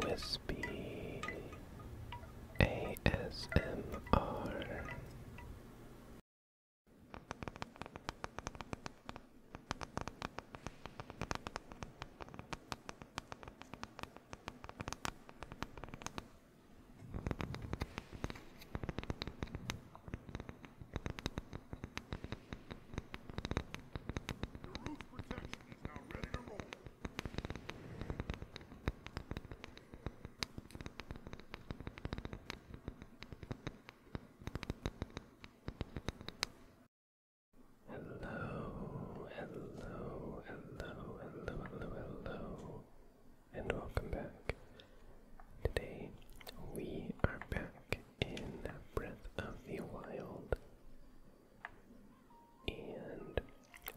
Wispy ASMR. roof protects Hello, hello, hello, hello, hello, hello, and welcome back. Today we are back in Breath of the Wild and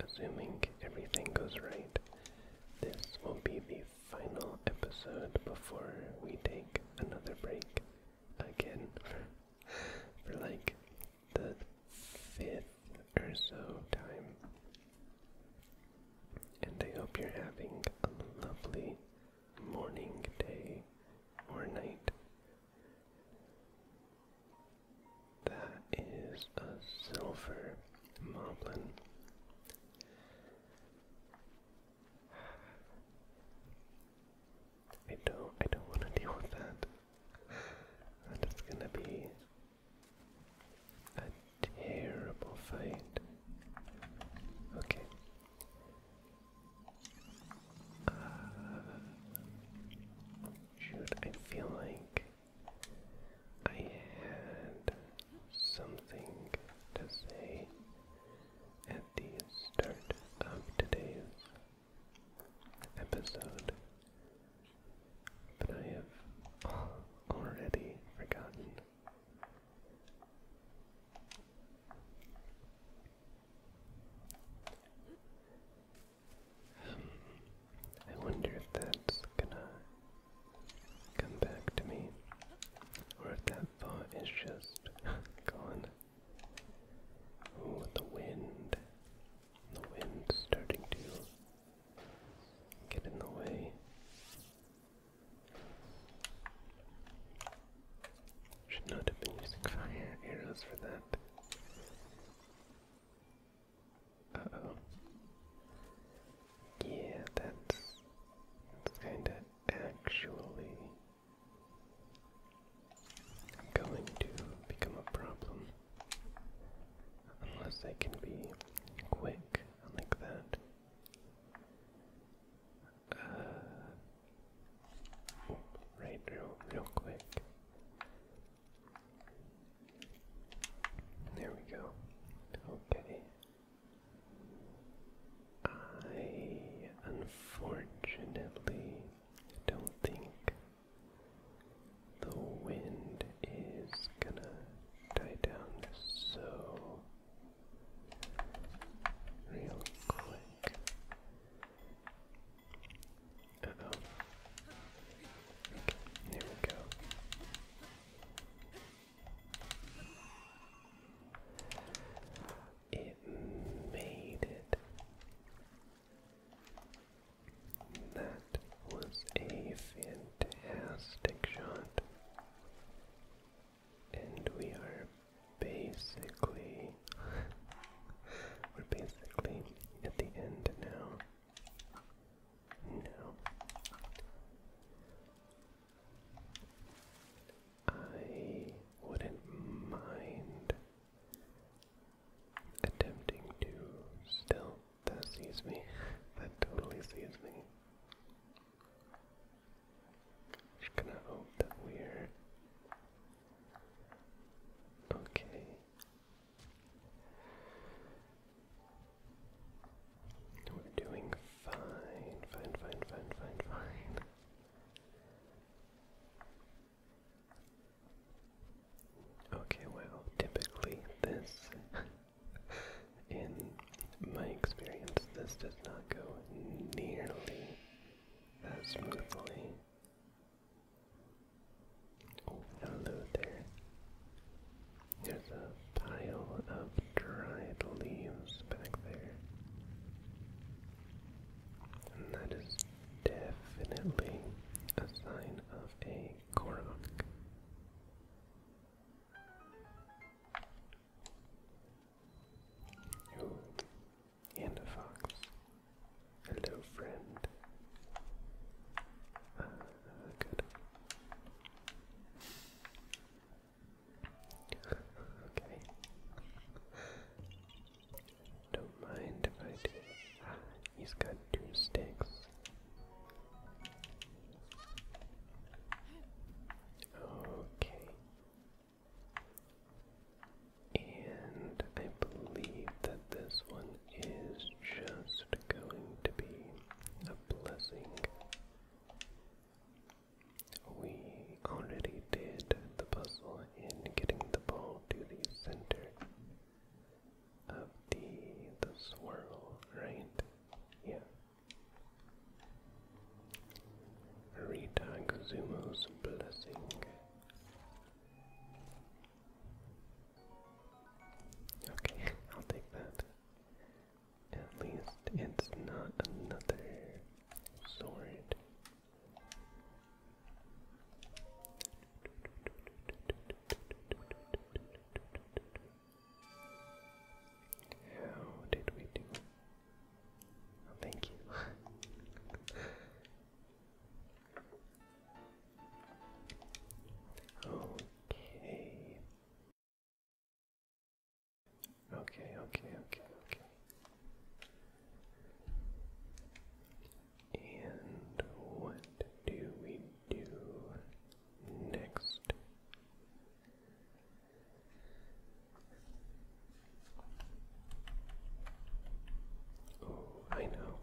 assuming everything goes right, this will be the final episode before we take another break again for, like the fifth or so time. And I hope you're having a lovely morning, day, or night, that is a silver moblin. I don't I don't want to deal with that. That is gonna be a terrible fight. Okay. Uh, shoot, I feel like I had something to say at the start of today's episode, but I have already forgotten. I wonder if that's gonna come back to me, or if that thought is just gone. Oh, the wind. The wind's starting to get in the way. Should not have been using fire arrows for that. Uh-oh. Yeah, that's... kinda actually... going to become a problem. Unless I can be quick like that. Uh, right real, real quick. There we go. Okay. I unfortunately don't think the wind is gonna die down so real quick. Uh we go. It made it. That was a fantastic shot. And we are basically we're basically at the end now. Now I wouldn't mind attempting to still that sees me. That totally sees me. Just gonna hope that we're Okay. We're doing fine, fine, fine, fine, fine, fine. Okay, well, typically this, in my experience, this does not go nearly as smoothly hello there. There's a pile of dried leaves back there. And that is definitely a sign of a Korok and a fox. Hello, friend. Ah, good. okay. Don't mind if I do. He's got two sticks. Okay. And I believe that this one is just going to be a blessing. We already did the puzzle in getting the ball to the center of the the swirl, right? Yeah. Rita Zumo's blessing. Okay, I'll take that. At least it's not another sword. How did we do? Oh, thank you. Okay. Okay, okay, okay, And what do we do next? Oh, I know.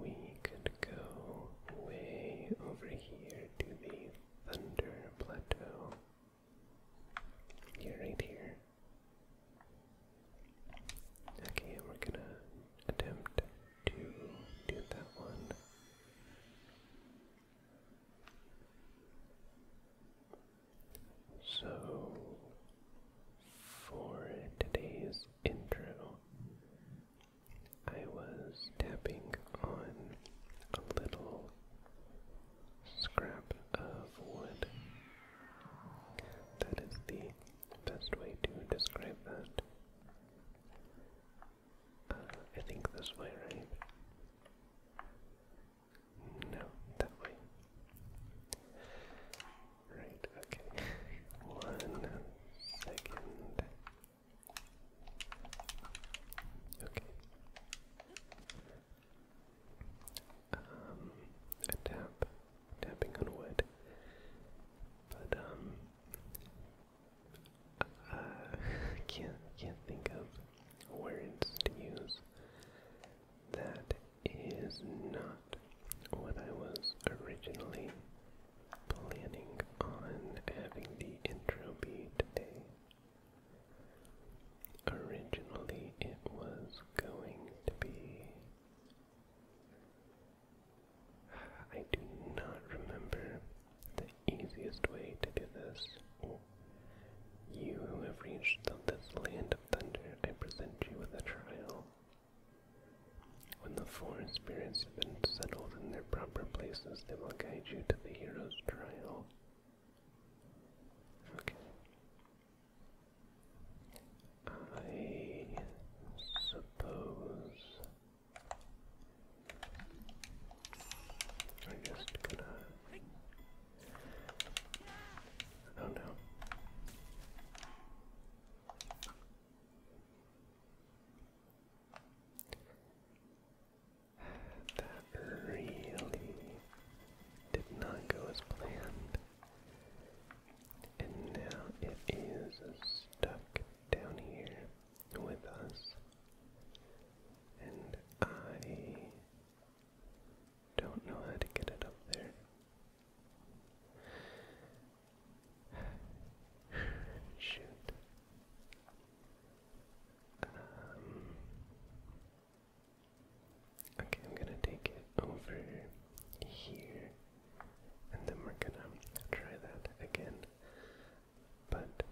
We could go way over here to the Thunder Plateau. you right here. Okay, we're gonna attempt to do that one. So, for today's intro, I was tapping on a little scrap of wood. That is the best way to describe that. Uh, I think this way, right? No, that way. Right, okay. One second. Okay. Um, a tapping on wood. But um, I can't can't think of words to use that is not what I was originally planning on having the intro be today. Originally, it was going to be. I do not remember the easiest way to do this. You have reached the, land then I present you with a trial. When the four spirits have been settled in their proper places, they will guide you to the hero's trial. Okay. I suppose I'm just gonna Oh no. That really did not go as planned. And now it is stuck down here with us. And I don't know how to get it up there. Shoot. Um, okay, I'm gonna take it over here, and then we're gonna try that again. But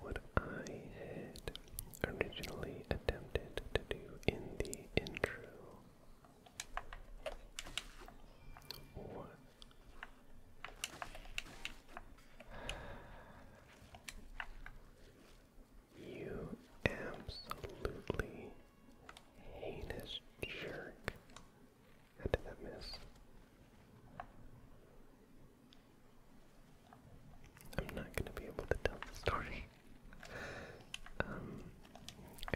what I had originally attempted to do in the intro. What? You absolutely heinous jerk. How did that miss? I'm not going to be able to tell the story. Um,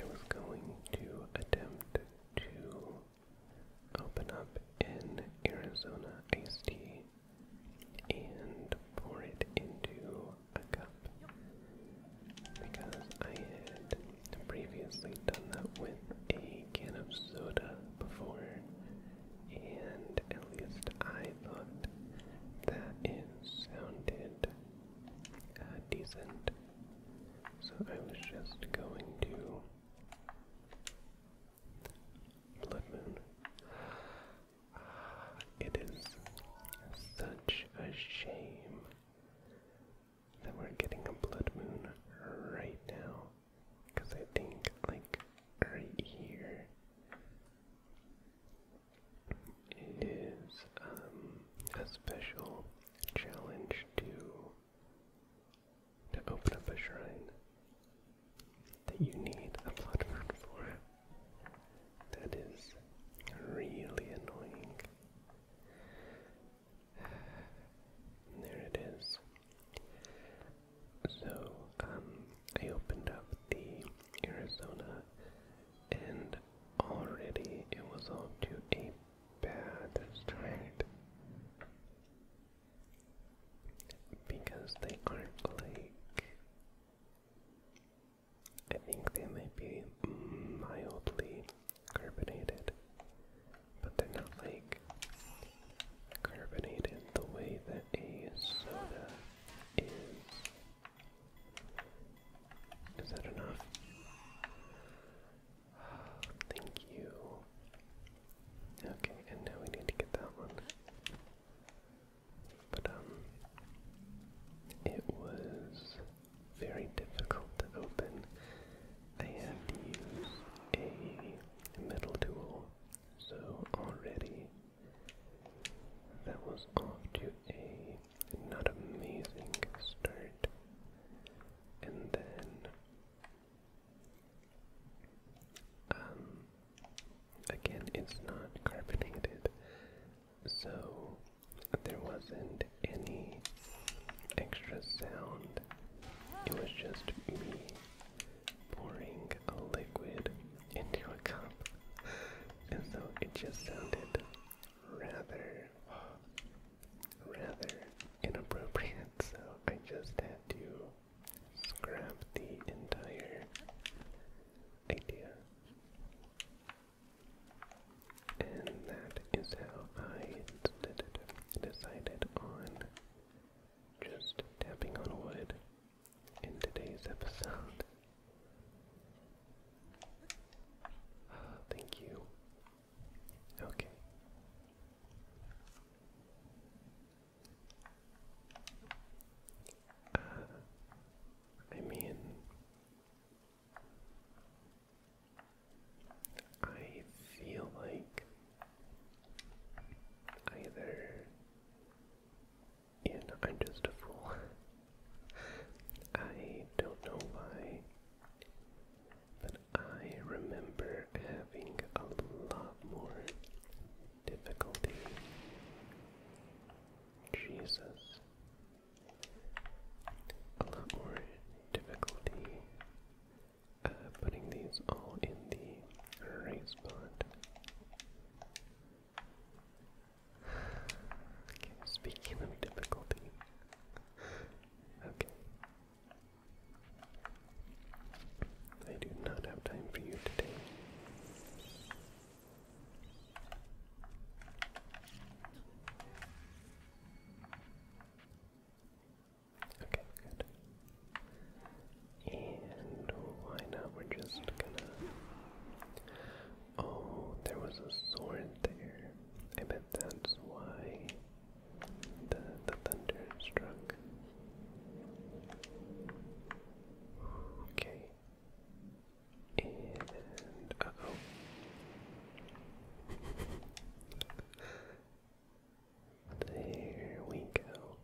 I was going to attempt to open up an Arizona iced tea and pour it into a cup because I had previously done that with a can of soda before, and at least I thought that it sounded uh, decent. So I was just going to Blood Moon. It is such a shame that we're getting a blood moon right now. Because I think, like, right here it is um, a special challenge to to open up a shrine that you need a blood moon for. That is really annoying. There it is. So, um, I opened up the Arizona, and already it was off to a bad start because they aren't like. I think they might be mildly carbonated, but they're not like carbonated the way that a soda is. Is that enough? Thank you. Okay, and now we need to get that one. But, um, it was very difficult to open. I had to use a metal tool, so already that was off to a not amazing start. And then um again it's not carbonated, so there wasn't any extra sound. It was just me pouring a liquid into a cup and so it just sounded rather, rather inappropriate, so I just had to scrap the entire idea. And that is how I decided on just tapping on wood in today's episode. Uh, thank you. Okay. Uh, I mean, I feel like either and I'm just a fool. I don't know why, but I remember having a lot more difficulty. Jesus. A lot more difficulty uh, putting these all in the right spot speaking of difficulty. Okay. I do not have time for you today. Okay, good. And why not? We're just gonna Oh, there was a sword there. I bet that's why the, the thunder struck. Okay. And uh oh. there we go.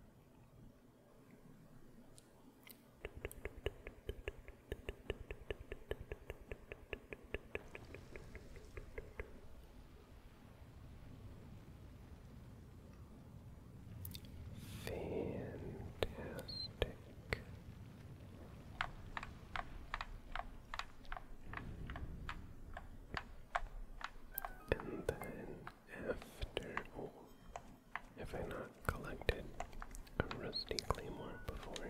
Fantastic. And then after all have I not collected a rusty claymore before?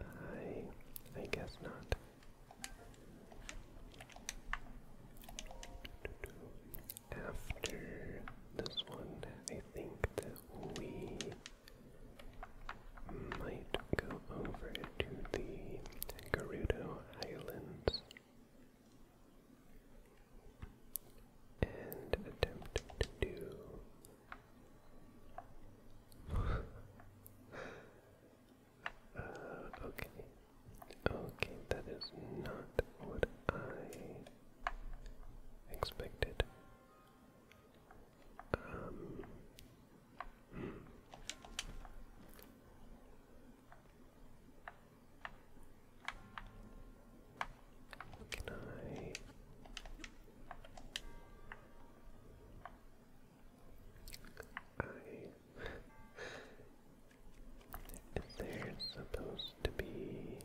I I guess not. After this one, I think that we might go over to the Gerudo Islands and attempt to do. Uh, okay. Okay, that is not what I expected. Um, hmm. Can I? I there's supposed to be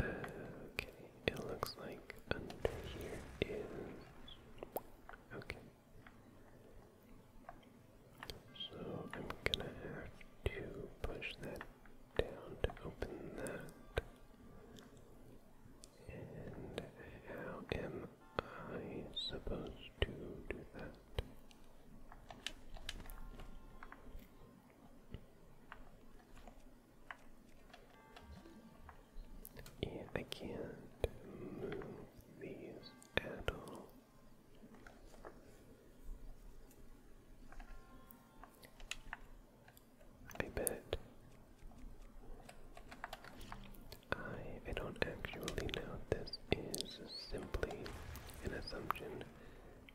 uh, okay. It looks like under here is okay. So I'm gonna have to push that down to open that. And how am I supposed to do that? Yeah, I can't move these at all. I bet I I don't actually know this is simply an assumption,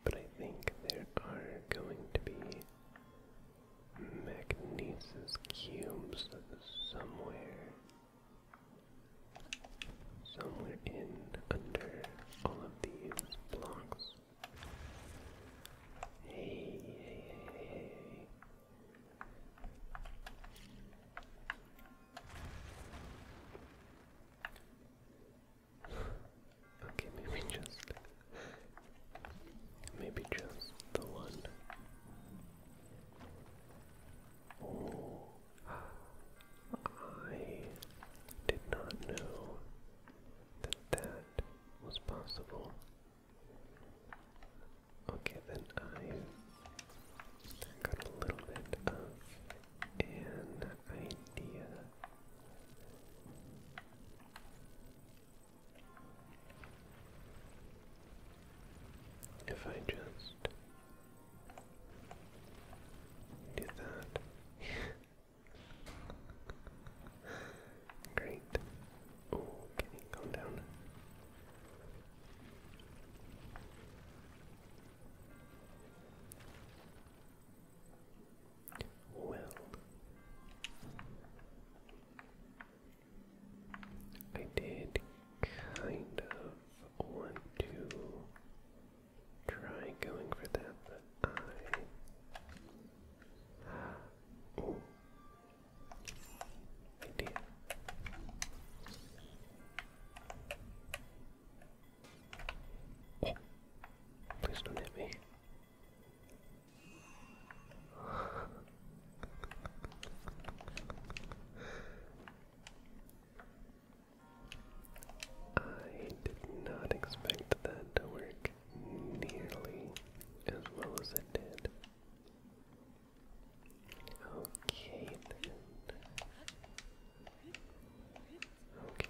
but I think there are going to be Magnesis cubes somewhere somewhere in under all of these blocks. Hey, hey, hey, hey, okay, maybe just maybe just the one. Oh. I did not know that that was possible. Okay, then I got a little bit of an idea. If I just did that. Great. Oh, can you down? Well, I did kind of want to try going for that, but I. Ooh. Idea. Oh. Please don't hit me. I did not expect that to work nearly as well as it did. Okay then. Okay.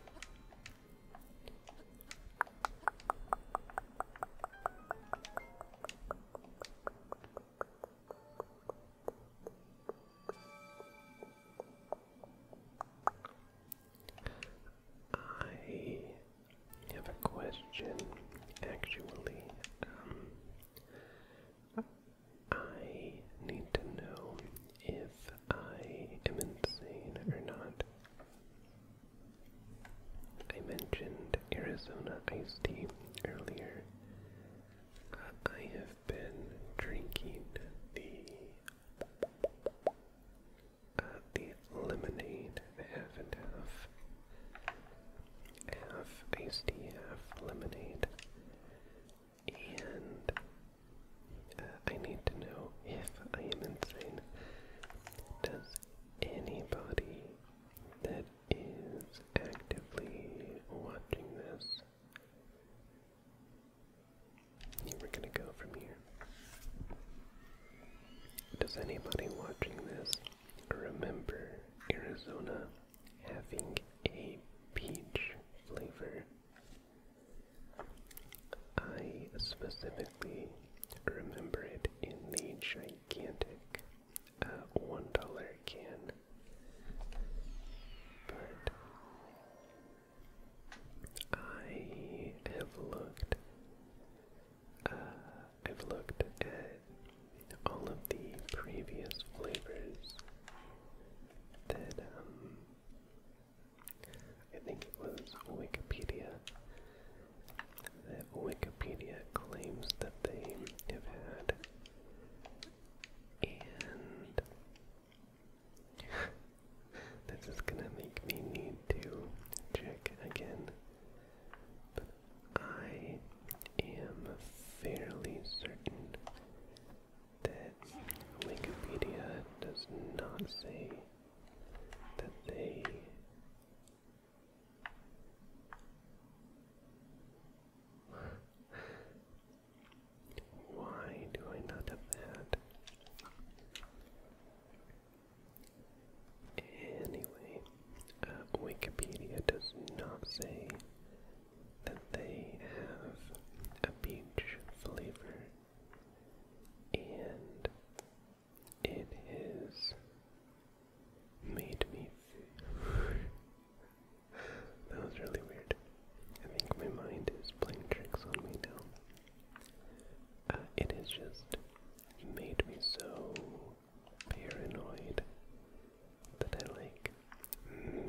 I have a question, actually. Um, I need to know if I am insane or not. I mentioned Arizona Ice tea earlier. I have been drinking the uh, the lemonade, half and half, half iced tea, half lemonade, and uh, I need to know if I am insane. Does anybody that is actively watching this we're gonna go from here. Does anybody watching this remember Arizona having a peach flavor? I specifically remember it in the gigantic uh, $1 can but I have looked. Uh, I've looked at all of the previous flavors that um, I think it was Wikipedia. That Wikipedia claims that they have had, and this is gonna make me need to check again. I am fairly certain that Wikipedia does not say that they why do I not have that? Anyway, uh, Wikipedia does not say that they have a peach flavor, and it has made me that was really weird. I think my mind is playing tricks on me now. Uh, it has just made me so paranoid that I like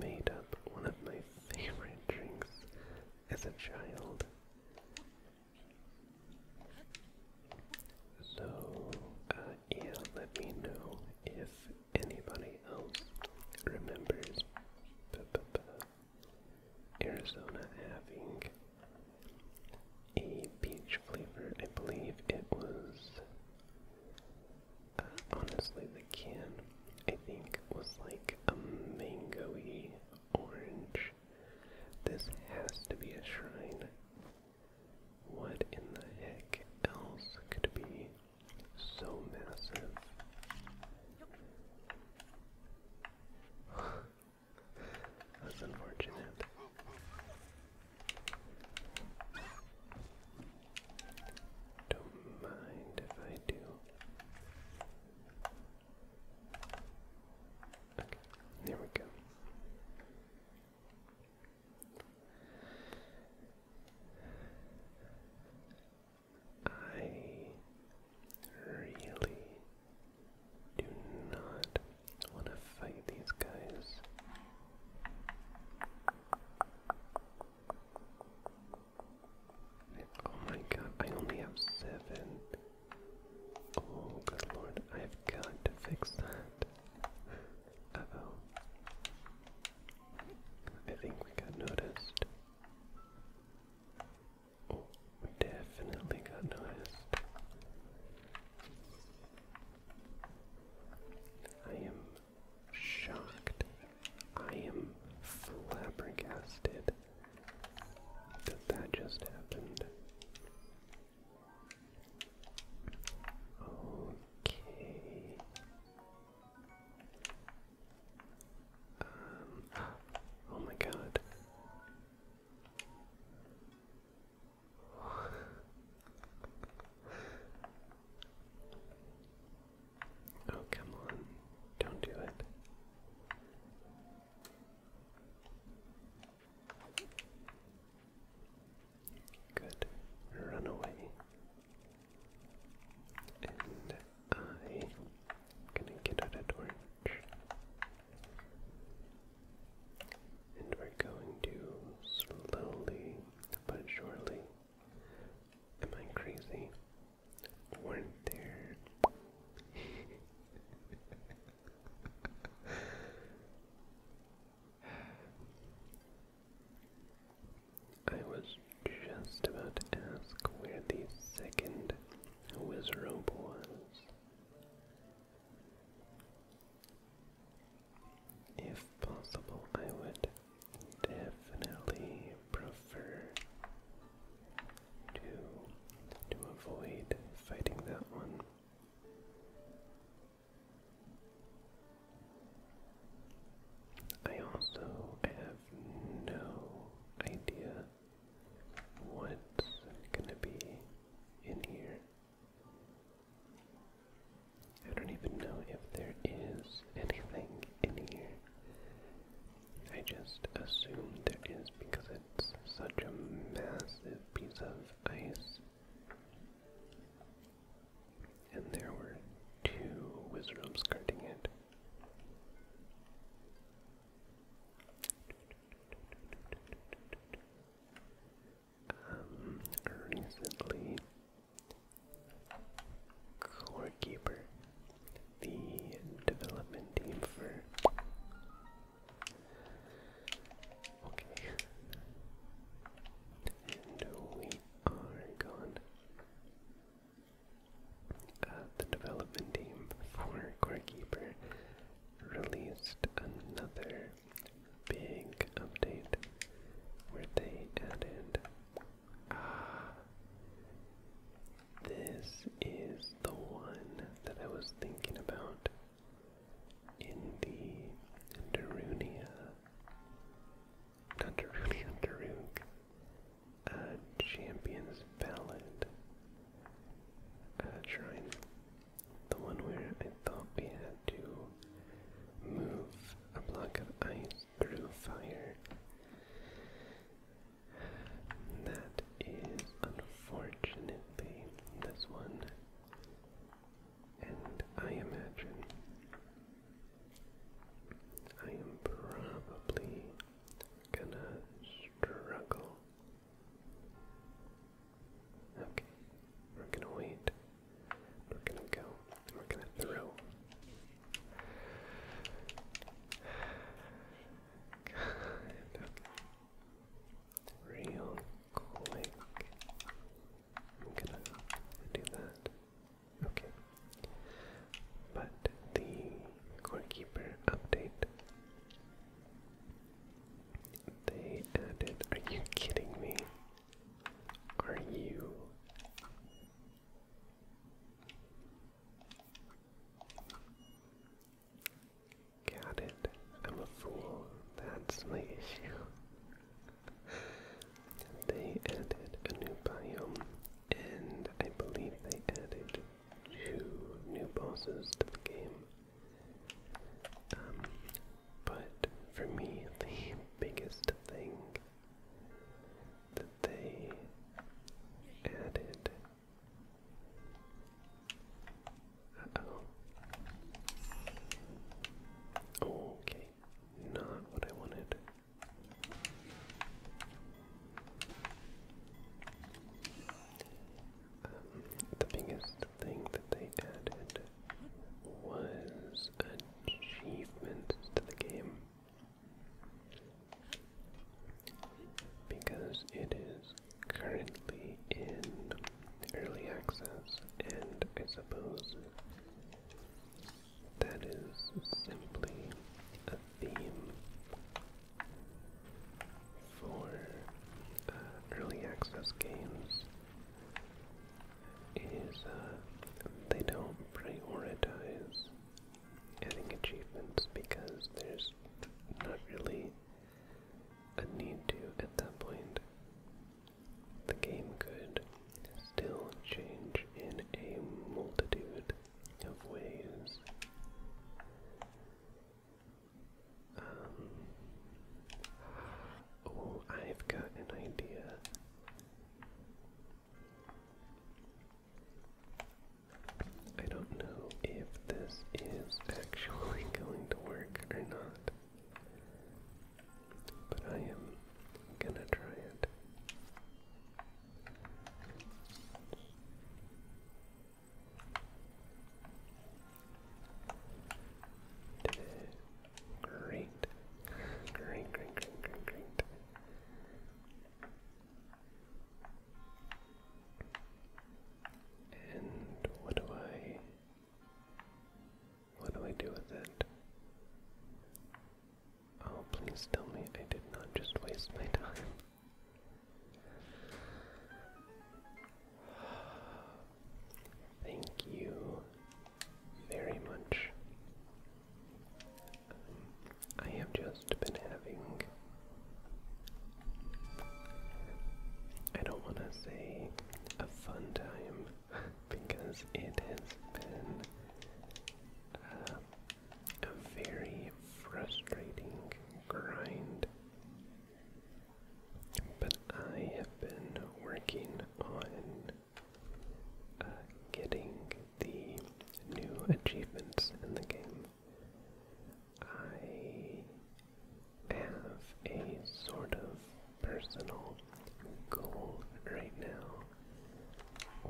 made up one of my favorite drinks as a child. So, uh, yeah, let me know if anybody else remembers Arizona having a peach flavor. I believe it was. Uh, honestly, the can I think was like a mangoey orange. This has to be a shrine. What in the heck else could be so massive. That's unfortunate. Don't mind if I do. Okay, there we go. I really do not want to fight these guys. Oh my god, I only have seven. Oh good lord, I've got to fix that. oh. I think we got noticed we definitely got noticed. I am shocked. I am flabbergasted that that just happened. Okay. Um, oh my god. oh, come on. Don't do it. Good. Run away. And I'm gonna get out a torch. And we're going to slowly but surely. Am I crazy? Weren't there? I was just about to ask where the second wizard robe was. If possible, I would definitely prefer to to avoid fighting that one. I also have no idea what's gonna be in here. I don't even know if there is anything in here. I just assume there is because it's such a massive piece of ice. And there were two wizards guarding it. Um, recently, Core the development team for. Okay. And we are gone. Uh, the development team for Core Keeper released another big update where they added. Ah, this is the one that I was thinking about in the Darunia Dundaruni Underoog, uh, Champions Ballad, uh, the one where I thought we had to move a block of ice through fire. That is unfortunately this one. And I imagine I am probably gonna struggle. Okay, we're gonna wait. We're gonna go. We're gonna throw. Real quick. I'm gonna do that. Okay. But the goalkeeper update, they added. Are you kidding me? Are you? Got it. I'm a fool. That's my issue. they added a new biome and I believe they added two new bosses to the game. Um, but for me, the biggest thing that they added. oh. Okay, not what I wanted the biggest thing that they added was achievements to the game because it is currently in early access and I suppose that is simply a theme for uh, early access games is uh, they don't prioritize adding achievements because there's not really a need to at that point. The game could still change in a multitude of ways. Um, oh, I've got an idea. I don't know if this is actually going to work or not, but I am gonna try it. Great. Great, great, great, great, And what do I what do I do with it? Oh, please tell me I did not just waste my time. Thank you very much. Um, I have just been having. I don't want to say a fun time because it has been uh, a very frustrating grind. But I have been working on uh, getting the new achievements in the game. I have a sort of personal goal right now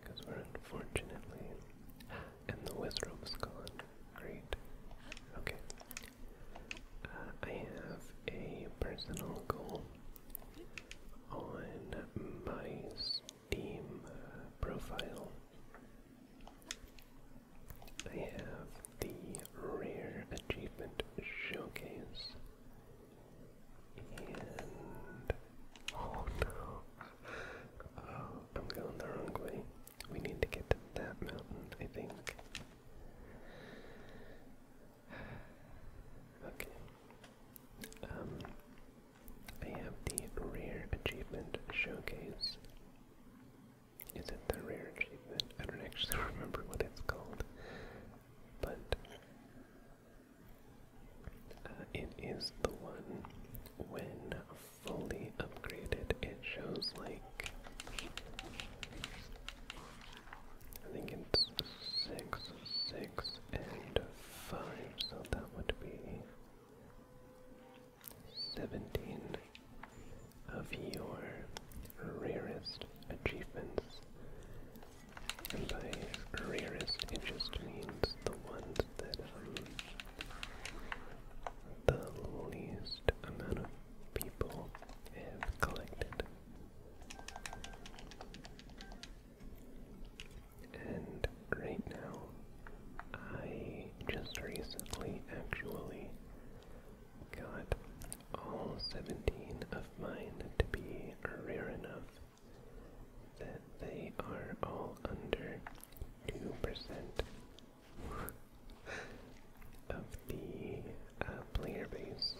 because we're unfortunately. And the Wizrobe's gone. Great. Okay. Uh, I have a personal goal on my Steam uh, profile. I have the Rare Achievement Showcase oh no. Oh, I'm going the wrong way. We need to get to that mountain, I think. Okay. Um I have the rare achievement showcase. Is it the rare achievement? I don't actually remember what it's called but uh, it is the one when fully upgraded. It shows like I think it's six, six, and five, so that would be seventeen of your rarest achievements and by rarest, it just means the ones that, um, the least amount of people have collected. And right now, I just recently actually got all 17 of mine to be rare enough that they are all under 2% of the uh, player base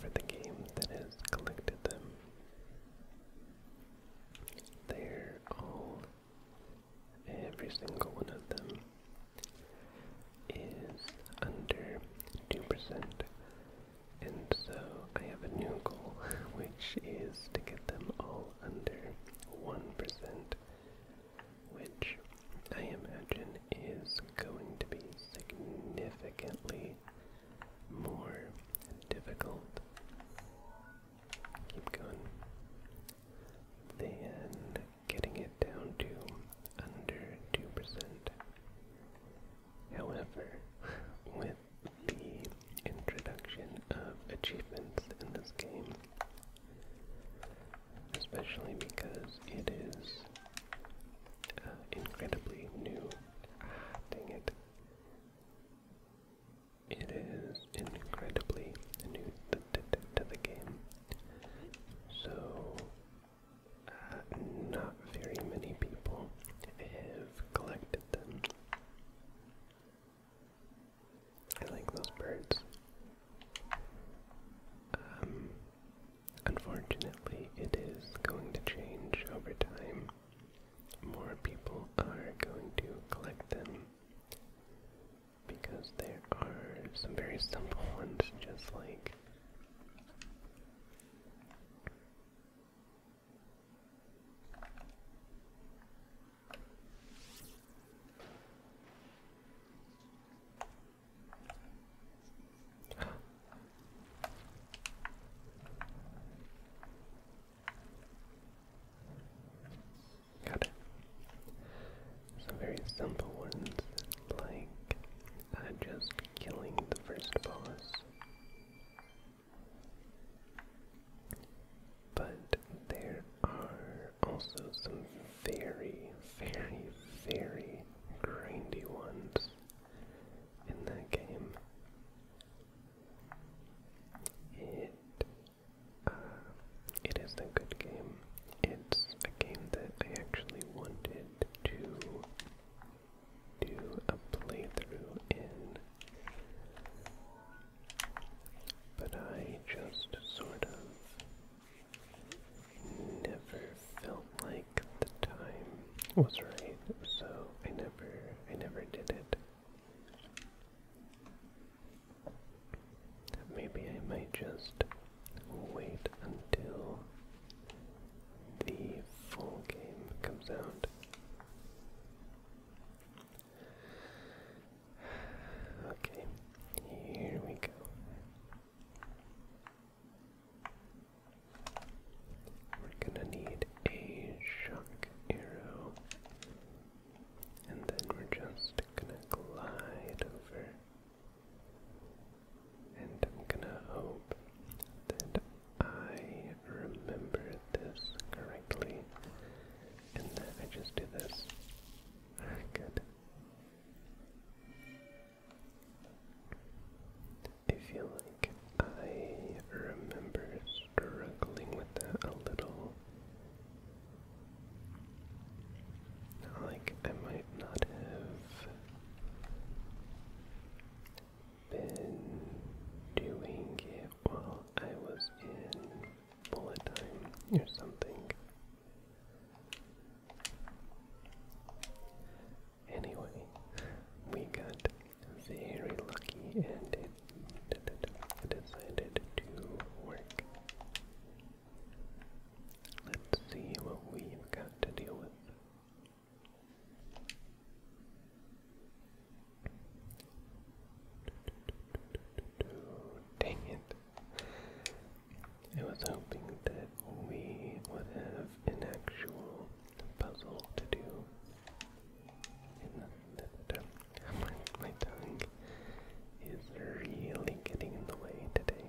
for the game that has collected them. They're all, every single one of them, is under 2%. And so I have a new goal, which is to get them all under 1%, which I imagine is going to be significantly more difficult. Keep going. Than getting it down to under 2%. However, with the introduction of achievements in this game, especially because it is uh, incredibly new. dang it. It is incredibly new to the game. So not very many people have collected them. I like those birds. Um, unfortunately, it is going to change over time. More people are going to collect them because there are some very simple ones, just like Got it. Some very simple ones like uh, just killing the first boss. But there are also some very, very, very grindy ones in that game. It uh, it is a good game. It's a game that I actually wanted to do a playthrough in. But I just sort of never felt like the time was right, so I never I never did it. Maybe I might just wait until the full game comes out. Okay, here we go. We're gonna need a shock arrow, and then we're just gonna glide over and I'm gonna hope that I remember this correctly and that I just do this. Good. I feel like I remember struggling with that a little. Like, I might not have been doing it while I was in bullet time or something. Anyway, we got very lucky and it decided to work. Let's see what we've got to deal with. Dang it. I was hoping that we would have an actual puzzle to do. And my tongue is really getting in the way today.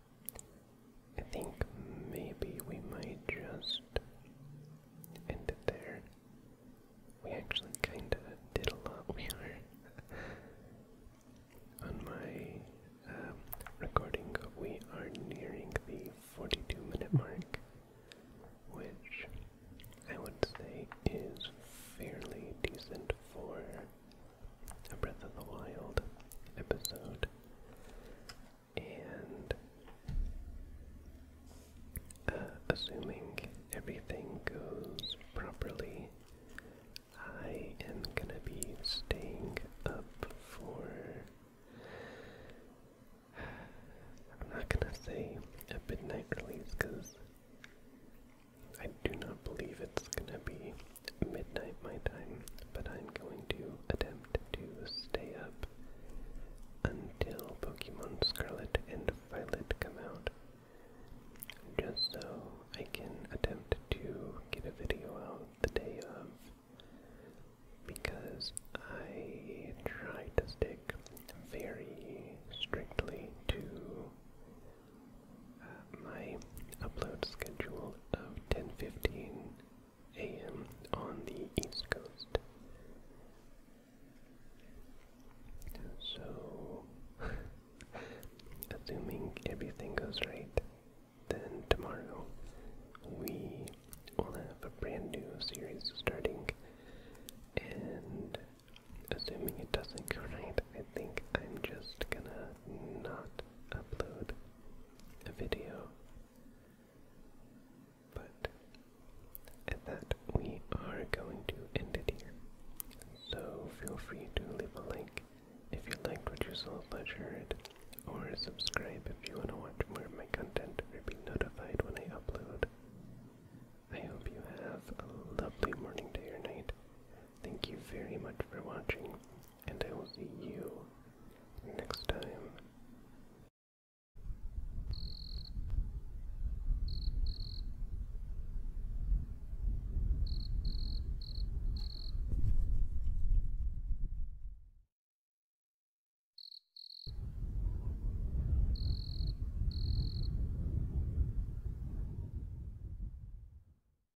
I think maybe we might just end there. We actually kinda did a lot. We are on my um, recording. We are nearing the 42 minute mark, which I would say is fairly decent for a Breath of the Wild episode, and uh, assuming everything goes properly, I am gonna be staying up for. I'm not gonna say a midnight release because I do not believe it's gonna be midnight my time, but I'm going to attempt to stay up until Pokemon Scarlet and Violet come out, just so I can attempt to get a video out the day of, because I try to stick very strictly to my upload schedule of 10:15 a.m. on the East Coast. So, assuming everything goes right, then tomorrow we will have a brand new series starting, and assuming it doesn't go right, I think I'm just gonna not upload a video. But at that, we are going to end it here. So feel free to leave a like if you liked what you saw slash heard, or subscribe if you want to watch more of my content or be notified when I upload. I hope you have a lovely morning, day, or night. Thank you very much for watching, and I will see you next time.